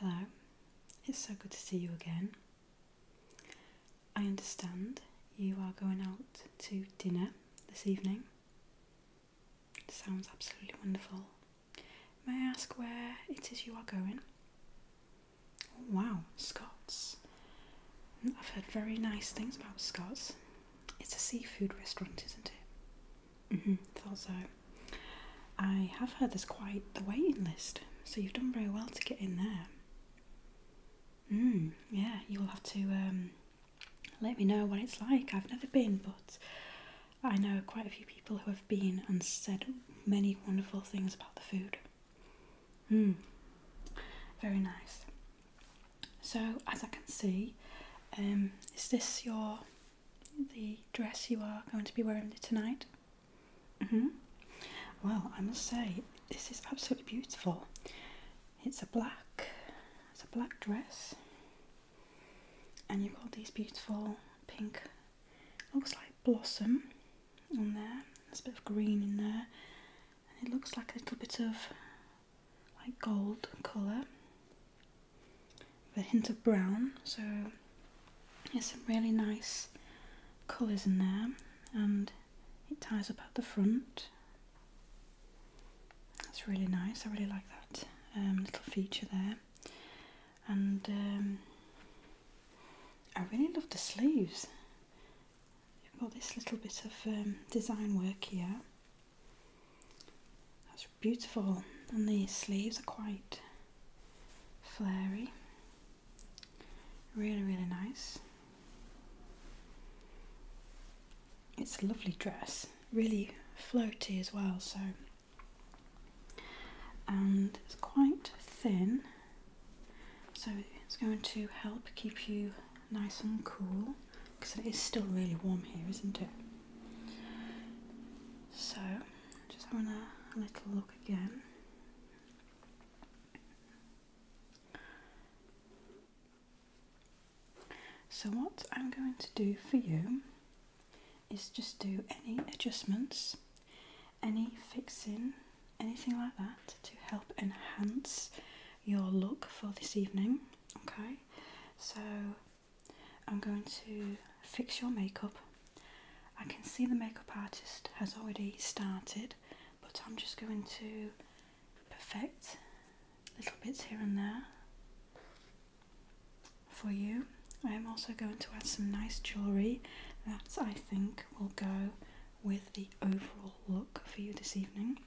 Hello, it's so good to see you again. I understand you are going out to dinner this evening. Sounds absolutely wonderful. May I ask where it is you are going? wow, Scots. I've heard very nice things about Scots. It's a seafood restaurant, isn't it? Mm-hmm, thought so. I have heard there's quite the waiting list, so you've done very well to get in there. Mm, yeah, you'll have to um, let me know what it's like. I've never been, but I know quite a few people who have been and said many wonderful things about the food. Mm, very nice. So, as I can see, um, is this your the dress you are going to be wearing tonight? Mm-hmm. Well, I must say this is absolutely beautiful. It's a black, it's a black dress, and you've got these beautiful pink, looks like blossom on there. There's a bit of green in there, and it looks like a little bit of like gold colour with a hint of brown. So there's some really nice colours in there, and it ties up at the front. That's really nice. I really like that um, little feature there. And um, I really love the sleeves. You've got this little bit of um, design work here. That's beautiful. And the sleeves are quite flary. Really, really nice. It's a lovely dress, really floaty as well, so and it's quite thin, so it's going to help keep you nice and cool because it is still really warm here, isn't it? So, just having a little look again. So what I'm going to do for you is just do any adjustments, any fixing, anything like that to help enhance your look for this evening. Okay, so I'm going to fix your makeup. I can see the makeup artist has already started but I'm just going to perfect little bits here and there for you. I am also going to add some nice jewellery that I think will go with the overall look for you this evening.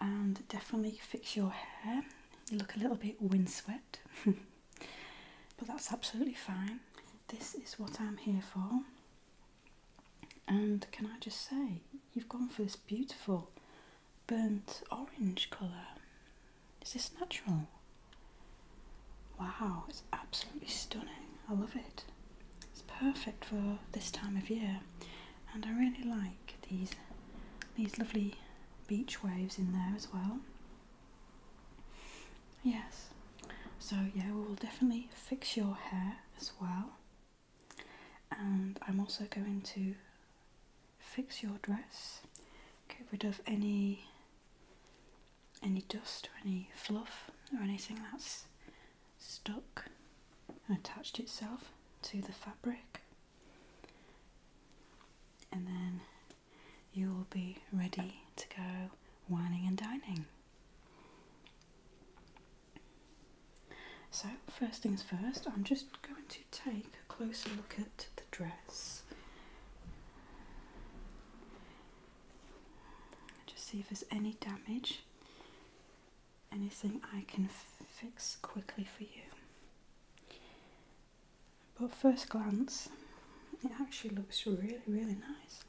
And definitely fix your hair. You look a little bit windswept, but that's absolutely fine. This is what I'm here for. And can I just say, you've gone for this beautiful burnt orange colour. Is this natural? Wow, it's absolutely stunning. I love it. It's perfect for this time of year. And I really like these these lovely beach waves in there as well. Yes. So yeah, we will definitely fix your hair as well. And I'm also going to fix your dress, get rid of any any dust or any fluff or anything that's stuck and attached itself to the fabric and then you will be ready to go whining and dining. So, first things first, I'm just going to take a closer look at the dress. Just see if there's any damage, anything I can fix quickly for you. But first glance, it actually looks really, really nice.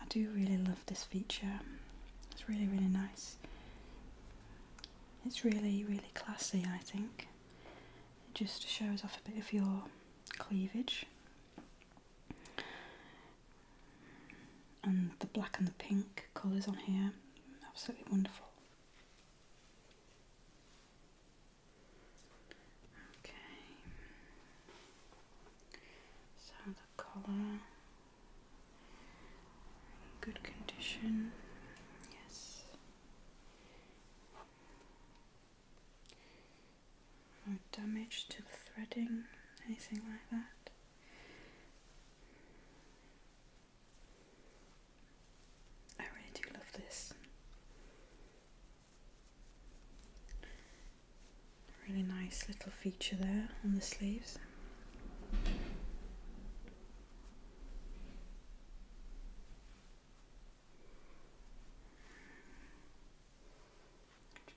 I do really love this feature. It's really, really nice. It's really, really classy, I think. It just shows off a bit of your cleavage. And the black and the pink colours on here, absolutely wonderful. Okay. So the collar, in good condition, yes. No damage to the threading, anything like that. I really do love this. Really nice little feature there on the sleeves.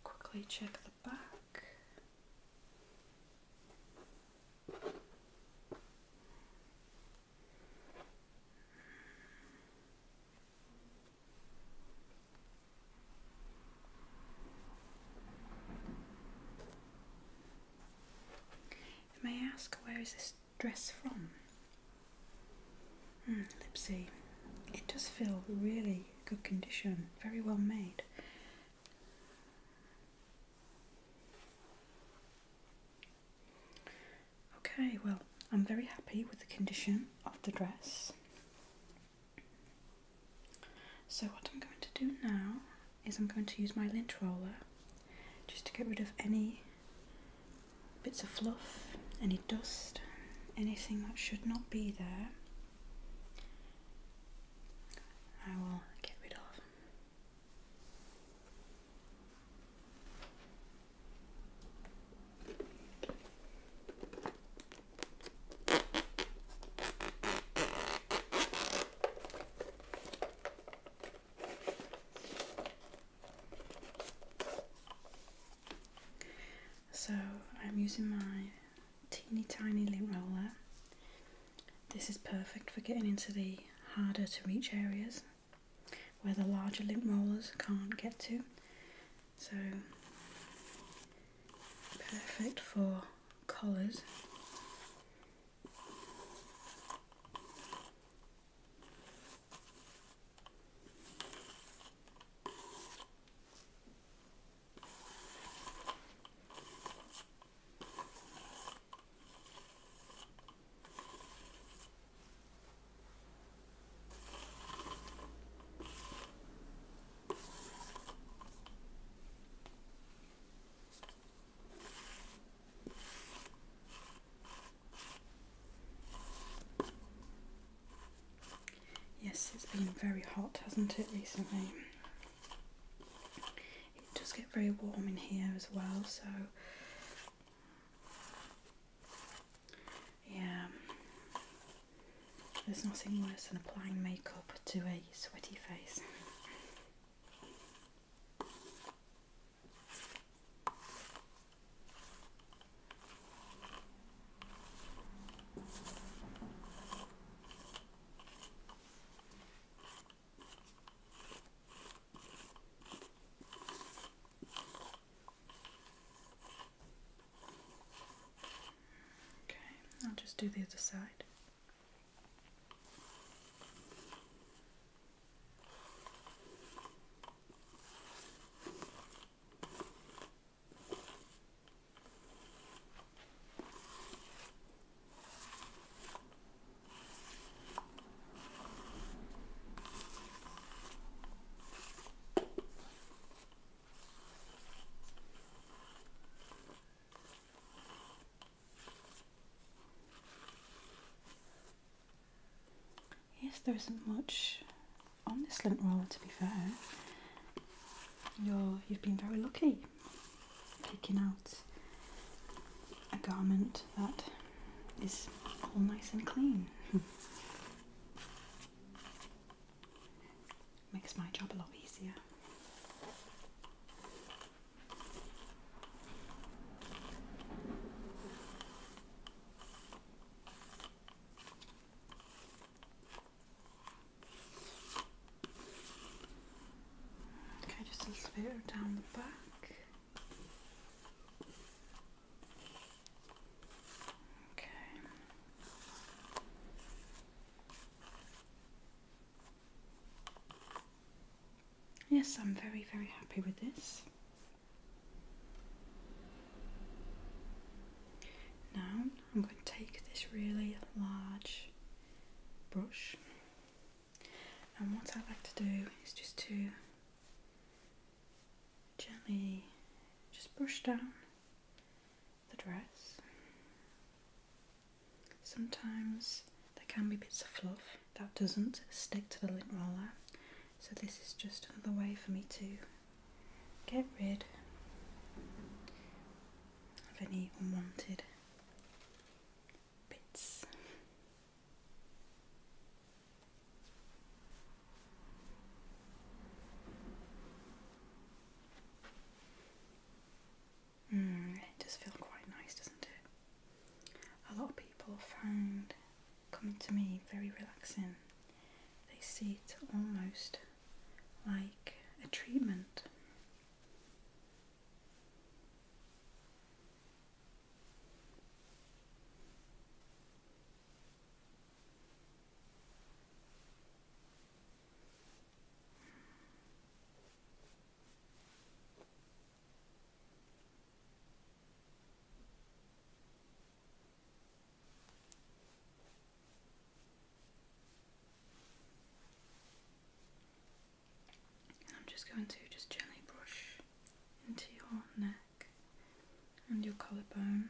Quickly check the back. May I ask where is this dress from? Mm, Lipsy, it does feel really good condition, very well made. Okay, well, I'm very happy with the condition of the dress. So what I'm going to do now is I'm going to use my lint roller just to get rid of any bits of fluff, any dust, anything that should not be there. I will get rid of. So I'm using my teeny tiny lip roller. This is perfect for getting into the harder to reach areas where the larger lip rollers can't get to so perfect for collars. Yes, it's been very hot, hasn't it, recently? It does get very warm in here as well, so yeah, there's nothing worse than applying makeup to a sweaty face. Okay, I'll just do the other side. Yes, there isn't much on this lint roller to be fair. You're, you've been very lucky picking out a garment that is all nice and clean. Makes my job a lot easier. Okay, just a little down the back. Okay. Yes, I'm very, very happy with this. Now I'm going to take this really large brush, and what I like to do is just to gently just brush down the dress. Sometimes there can be bits of fluff that doesn't stick to the lint roller, so this is just another way for me to get rid of any unwanted bits. Mm, it does feel quite nice, doesn't it? A lot of people find coming to me very relaxing. They see it almost like a treatment. I'm just going to just gently brush into your neck and your collarbone.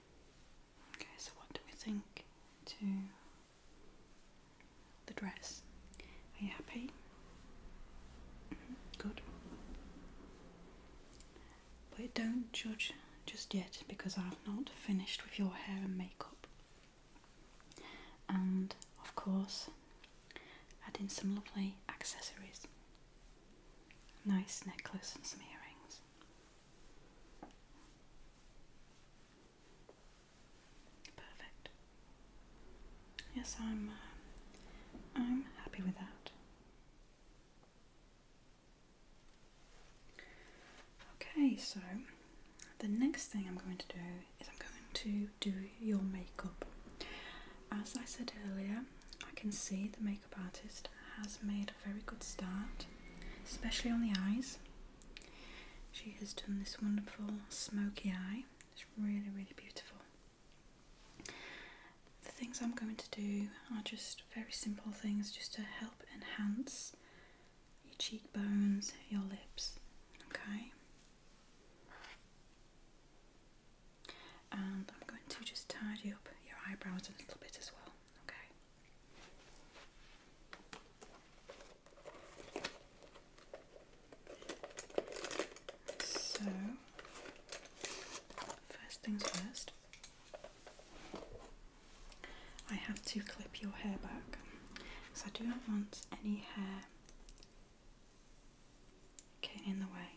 Okay, so what do we think to the dress? Are you happy? Mm-hmm, good. But don't judge just yet because I've not finished with your hair and makeup. And of course, add in some lovely accessories. Nice necklace and some earrings. Perfect. Yes, I'm. Uh, I'm happy with that. Okay, so the next thing I'm going to do is I'm going to do your makeup. As I said earlier, I can see the makeup artist has made a very good start, especially on the eyes. She has done this wonderful smoky eye. It's really, really beautiful. The things I'm going to do are just very simple things just to help enhance your cheekbones, your lips, okay? And I'm going to just tidy up your eyebrows a little bit as well, okay? So, first things first, I have to clip your hair back because I do not want any hair getting in the way.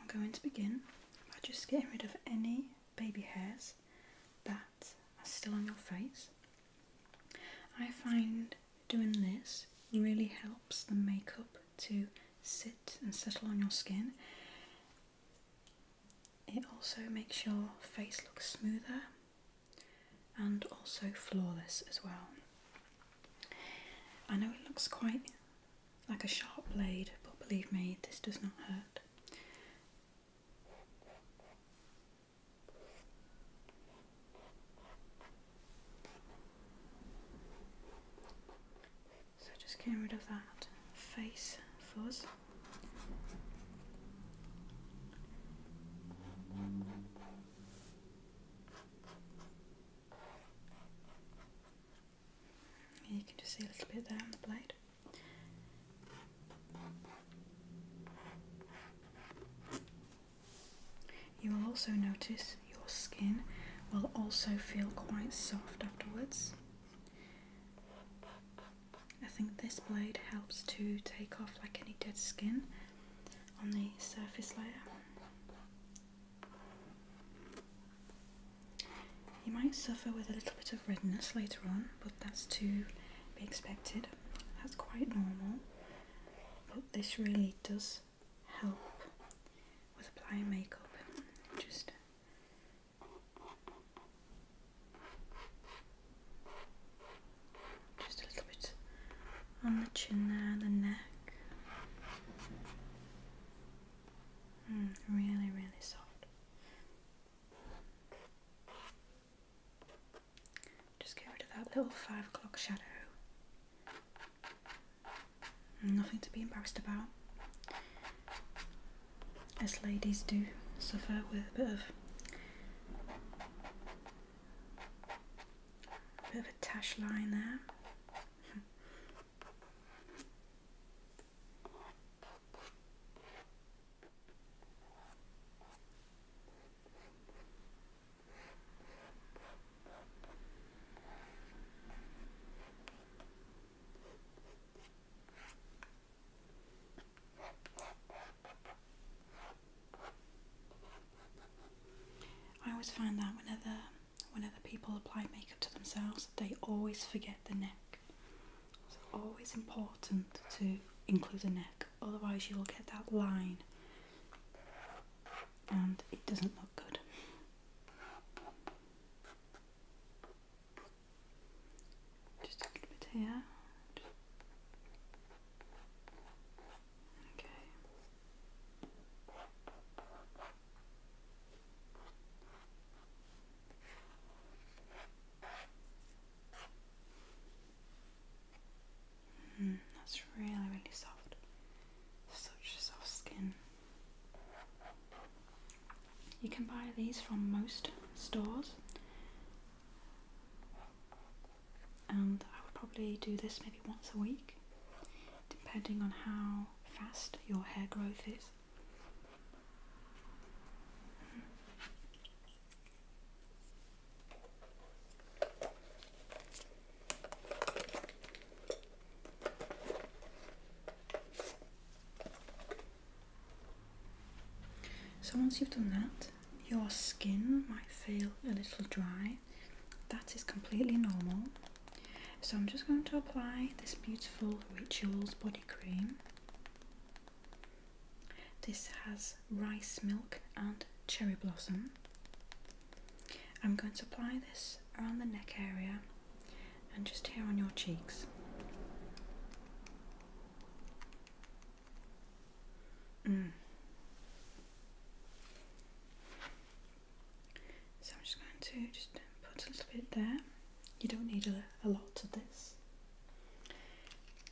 I'm going to begin by just getting rid of any baby hairs that are still on your face. I find doing this really helps the makeup to sit and settle on your skin. It also makes your face look smoother and also flawless as well. I know it looks quite like a sharp blade, but believe me, this does not hurt. So just getting rid of that face fuzz. You can just see a little bit there on the blade. You will also notice your skin will also feel quite soft afterwards. I think this blade helps to take off like any dead skin on the surface layer. You might suffer with a little bit of redness later on, but that's to be expected. That's quite normal, but this really does help with applying makeup. Just just a little bit on the chin there, the neck. Mm, really, really soft. Just get rid of that little five o'clock shadow. Nothing to be embarrassed about. As ladies do suffer with a bit of a bit of a tash line there. I always find that whenever when other people apply makeup to themselves, they always forget the neck. It's always important to include the neck, otherwise, you will get that line and it doesn't look good. Just a little bit here. Okay. Mm, that's really, really soft. Such soft skin. You can buy these from most stores, and I would probably do this maybe once a week, depending on how how fast your hair growth is. So once you've done that, your skin might feel a little dry. That is completely normal. So I'm just going to apply this beautiful Rituals body cream. This has rice milk and cherry blossom. I'm going to apply this around the neck area and just here on your cheeks. Mm. So I'm just going to just put a little bit there. You don't need a, lot of this.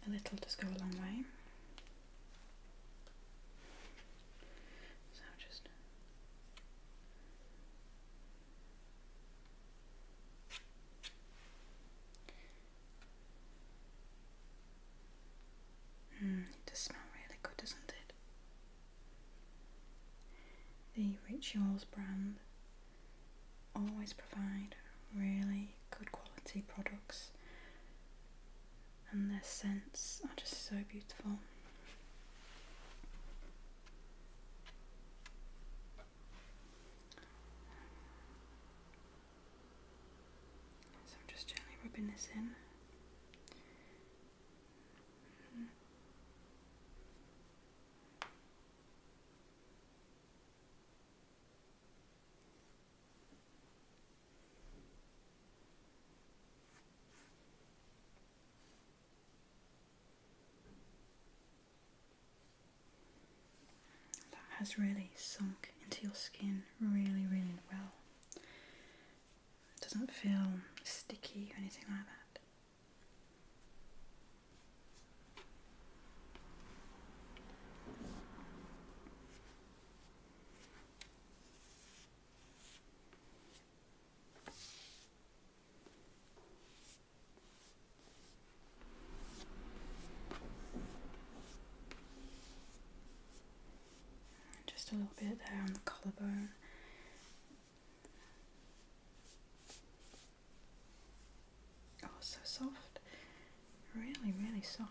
A little does go a long way. So just Mm, it does smell really good, doesn't it? The Rituals brand always provide really good quality products and their scents are just so beautiful. So I'm just gently rubbing this in Mm -hmm. That has really sunk into your skin really, really well. It doesn't feel sticky or anything like that. Just a little bit there on the collarbone, Oh, so soft. Really, really soft.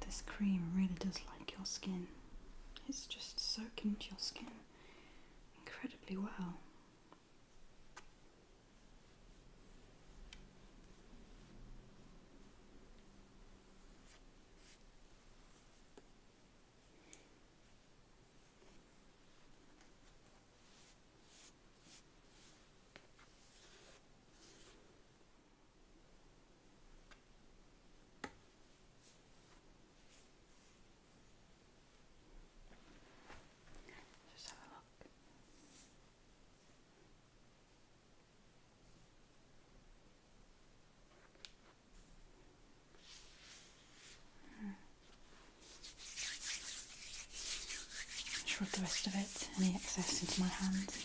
This cream really does like your skin. It's just soaking into your skin incredibly well. Just have a look. Hmm. Shrug the rest of it, any excess into my hands.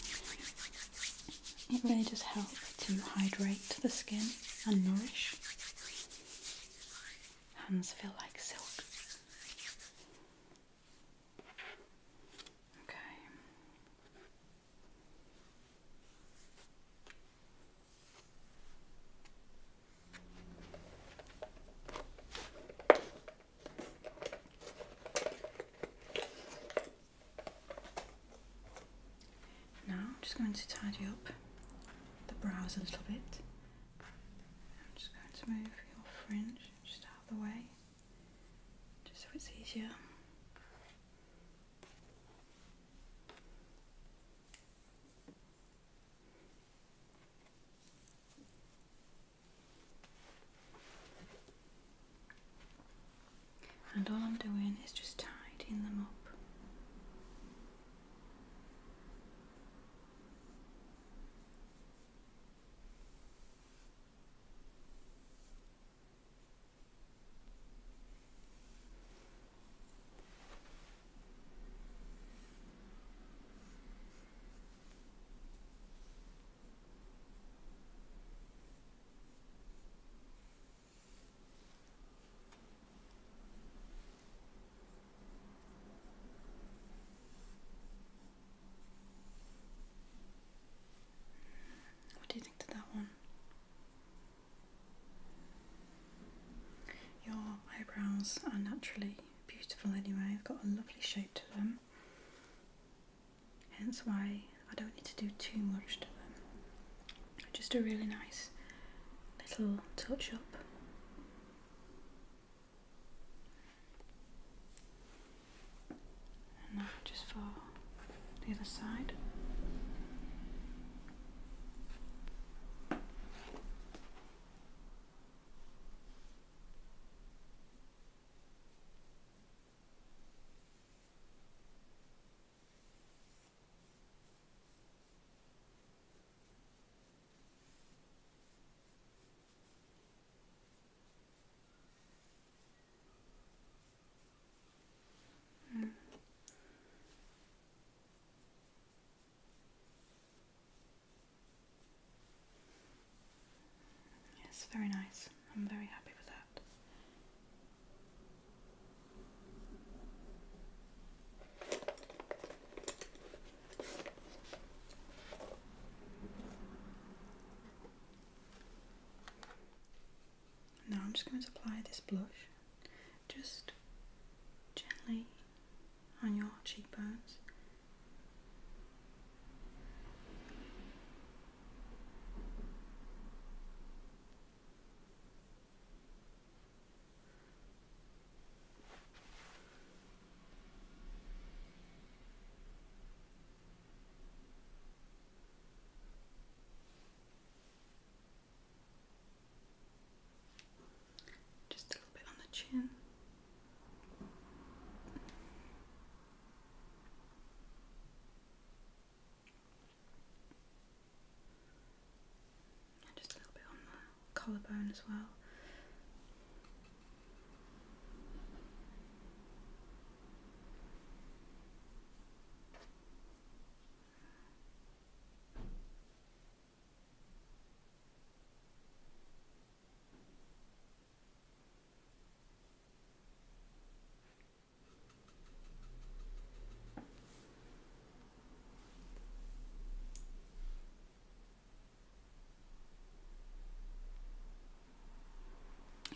It really does help to hydrate the skin and nourish. Hands feel like silk. Okay. Now I'm just going to tidy up the brows a little bit. I'm just going to move your fringe just out of the way, just so it's easier and all I'm doing is just tidying them up. What do you think to that one? Your eyebrows are naturally beautiful anyway, they've got a lovely shape to them hence why I don't need to do too much to them. Just a really nice little touch up. And now just for the other side. Yes, very nice. I'm very happy with that. Now I'm just going to apply this blush just gently on your cheekbones. Just a little bit on the chin. And just a little bit on the collarbone as well.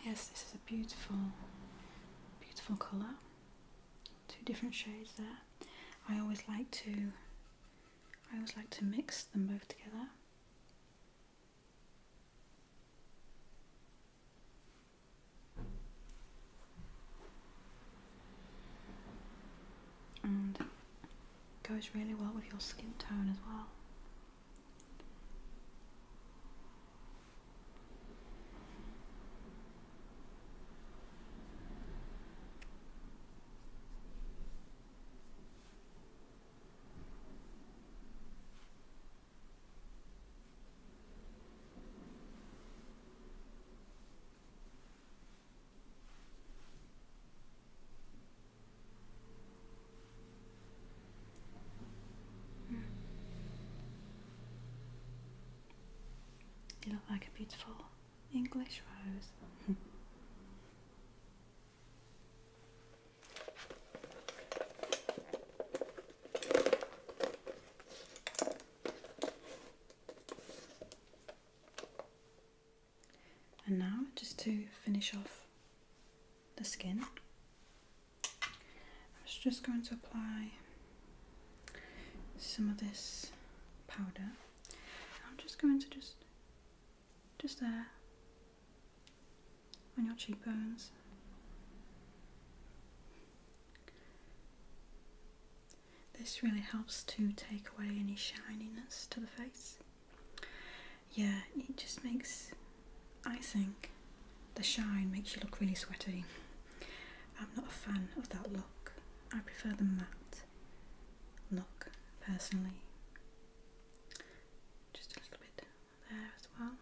Yes, this is a beautiful, beautiful colour. Two different shades there. I always like to, I always like to mix them both together and goes really well with your skin tone as well. You look like a beautiful English rose. And now, just to finish off the skin, I am just going to apply some of this powder. I'm just going to just, just there, on your cheekbones. This really helps to take away any shininess to the face. Yeah, it just makes, I think, the shine makes you look really sweaty. I'm not a fan of that look. I prefer the matte look, personally. Just a little bit there as well.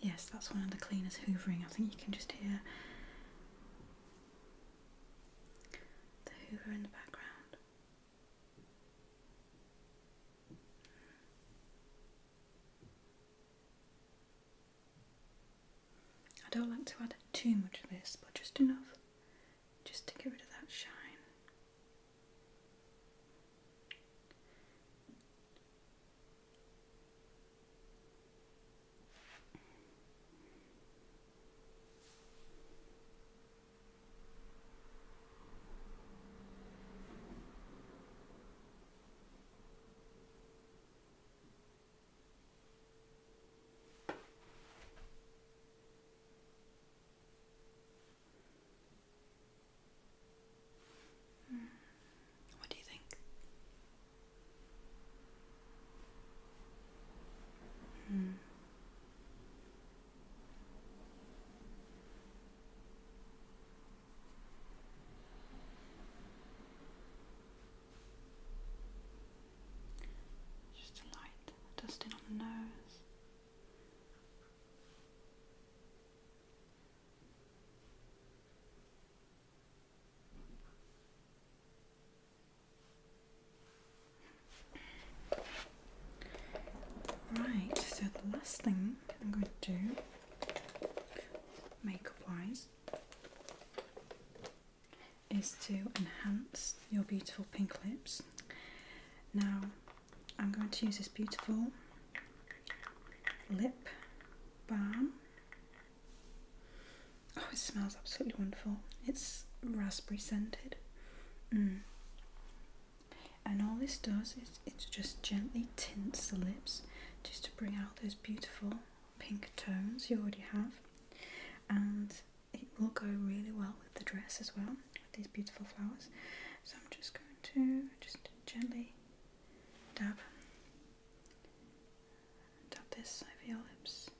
Yes, that's one of the cleaners hoovering. I think you can just hear the hoover in the background. I don't like to add too much of this, but just enough just to get rid of that shine. Hmm. What do you think? Hmm. Just a light dusting on the nose. Right, so the last thing I'm going to do, makeup wise, is to enhance your beautiful pink lips. Now, I'm going to use this beautiful lip balm. Oh, it smells absolutely wonderful. It's raspberry scented. Mm. And all this does is it just gently tints the lips just to bring out those beautiful pink tones you already have. And it will go really well with the dress as well, with these beautiful flowers. So I'm just going to just gently dab, dab this over your lips.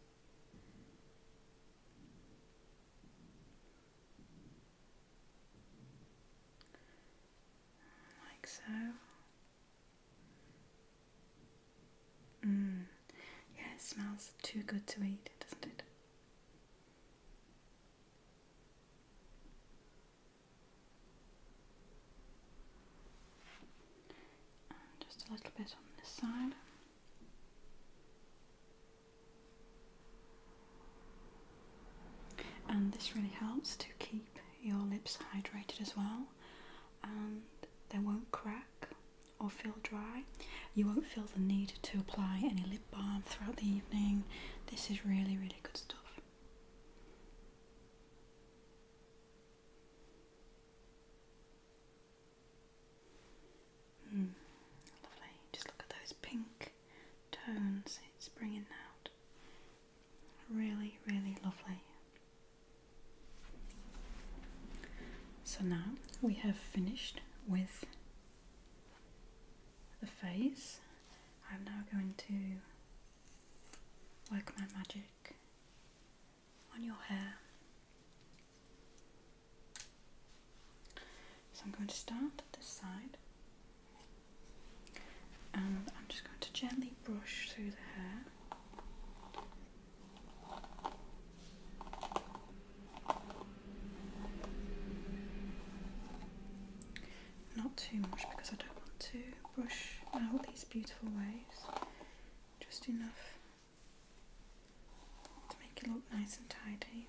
Like so. Mm. Yeah, it smells too good to eat, doesn't it? And just a little bit on this side. And this really helps to keep your lips hydrated as well, and they won't crack or feel dry. You won't feel the need to apply any lip balm throughout the evening. This is really, really good stuff. Hmm, lovely. Just look at those pink tones it's bringing out. Really, really lovely. So now we have finished with the face, I'm now going to work my magic on your hair. So I'm going to start at this side and I'm just going to gently brush through the hair. Not too much because I don't want to brush out these beautiful waves, just enough to make it look nice and tidy.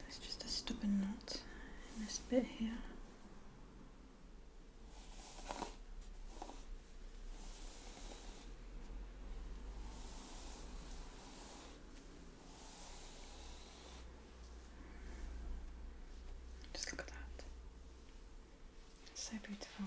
There's just a stubborn knot in this bit here. Just look at that. so beautiful.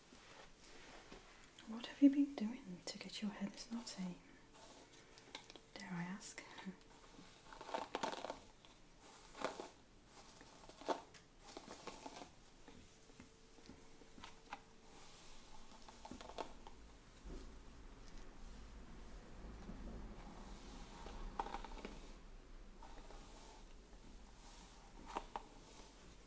What have you been doing to get your hair this knotty? Dare I ask?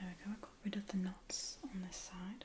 There we go, I got rid of the knots on this side.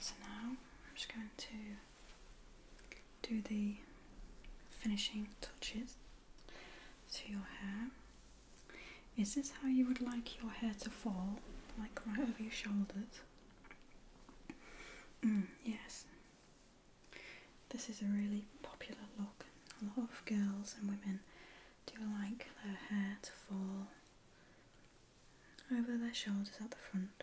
So now I'm just going to do the finishing touches to your hair. Is this how you would like your hair to fall? Like right over your shoulders? Mm, yes. This is a really popular look. A lot of girls and women do like their hair to fall over their shoulders at the front.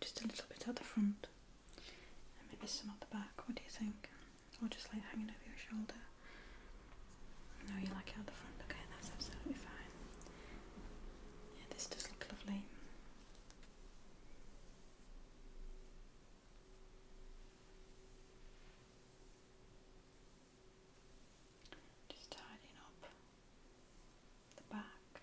just a little bit at the front maybe some at the back? What do you think? or just like hanging over your shoulder. No, you like it at the front. Okay, that's absolutely fine. Yeah, this does look lovely. Just tidying up the back.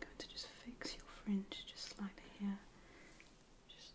going to just fix your fringe just slightly here. Just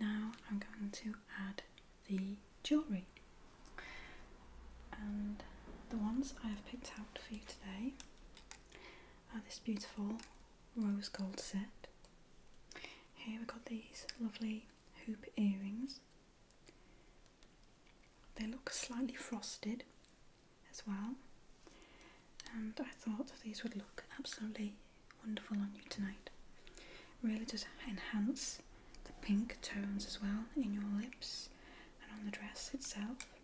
Now I'm going to add the jewellery. And the ones I have picked out for you today Oh, this beautiful rose gold set. Here we've got these lovely hoop earrings. They look slightly frosted as well, and I thought these would look absolutely wonderful on you tonight. Really just enhance the pink tones as well in your lips and on the dress itself.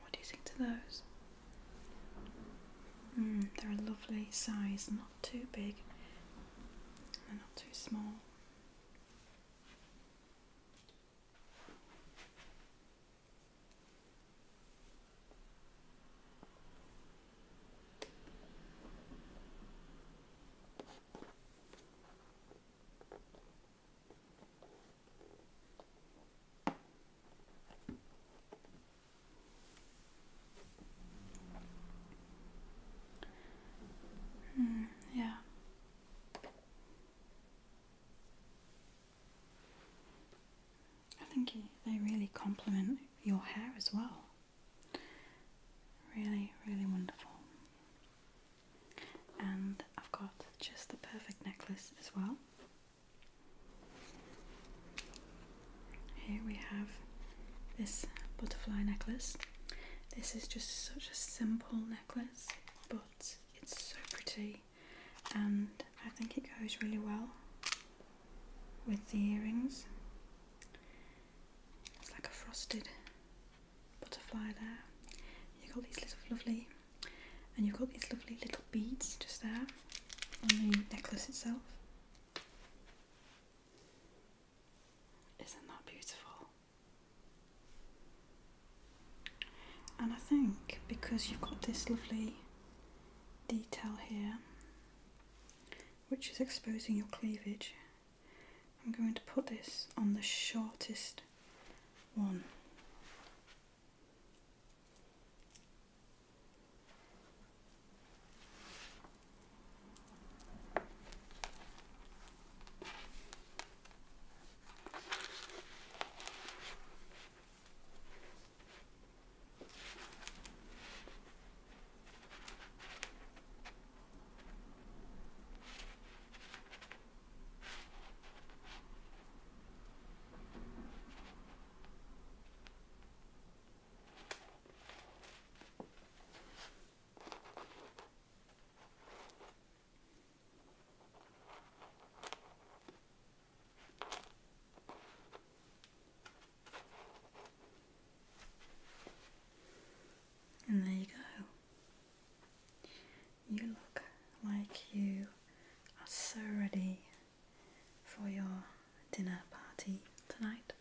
What do you think to those? Hmm, they're a lovely size, not too big and not too small. Mm, yeah. I think they really complement your hair as well. Really, really wonderful and I've got just the perfect necklace as well. Here we have this butterfly necklace. This is just such a simple necklace, but it's so pretty, and I think it goes really well with the earrings. It's like a frosted butterfly there. You've got these little lovely, and you've got these lovely little beads just there on the necklace itself. Isn't that beautiful? And I think because you've got this lovely detail here, which is exposing your cleavage, I'm going to put this on the shortest one. And there you go. You look like you are so ready for your dinner party tonight.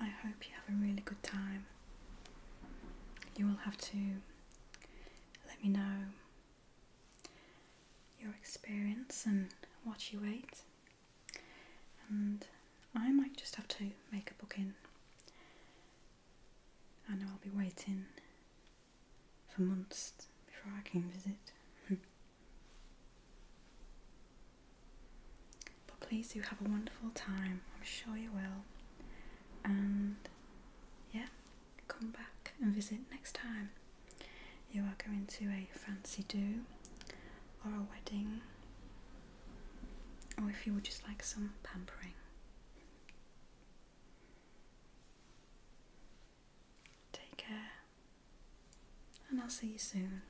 I hope you have a really good time. You will have to let me know your experience and what you ate and I might just have to make a booking. I know I'll be waiting for months before I can visit. but please do have a wonderful time, I'm sure you will. And yeah, come back and visit next time. You are going to a fancy do or a wedding or if you would just like some pampering. Take care, and I'll see you soon.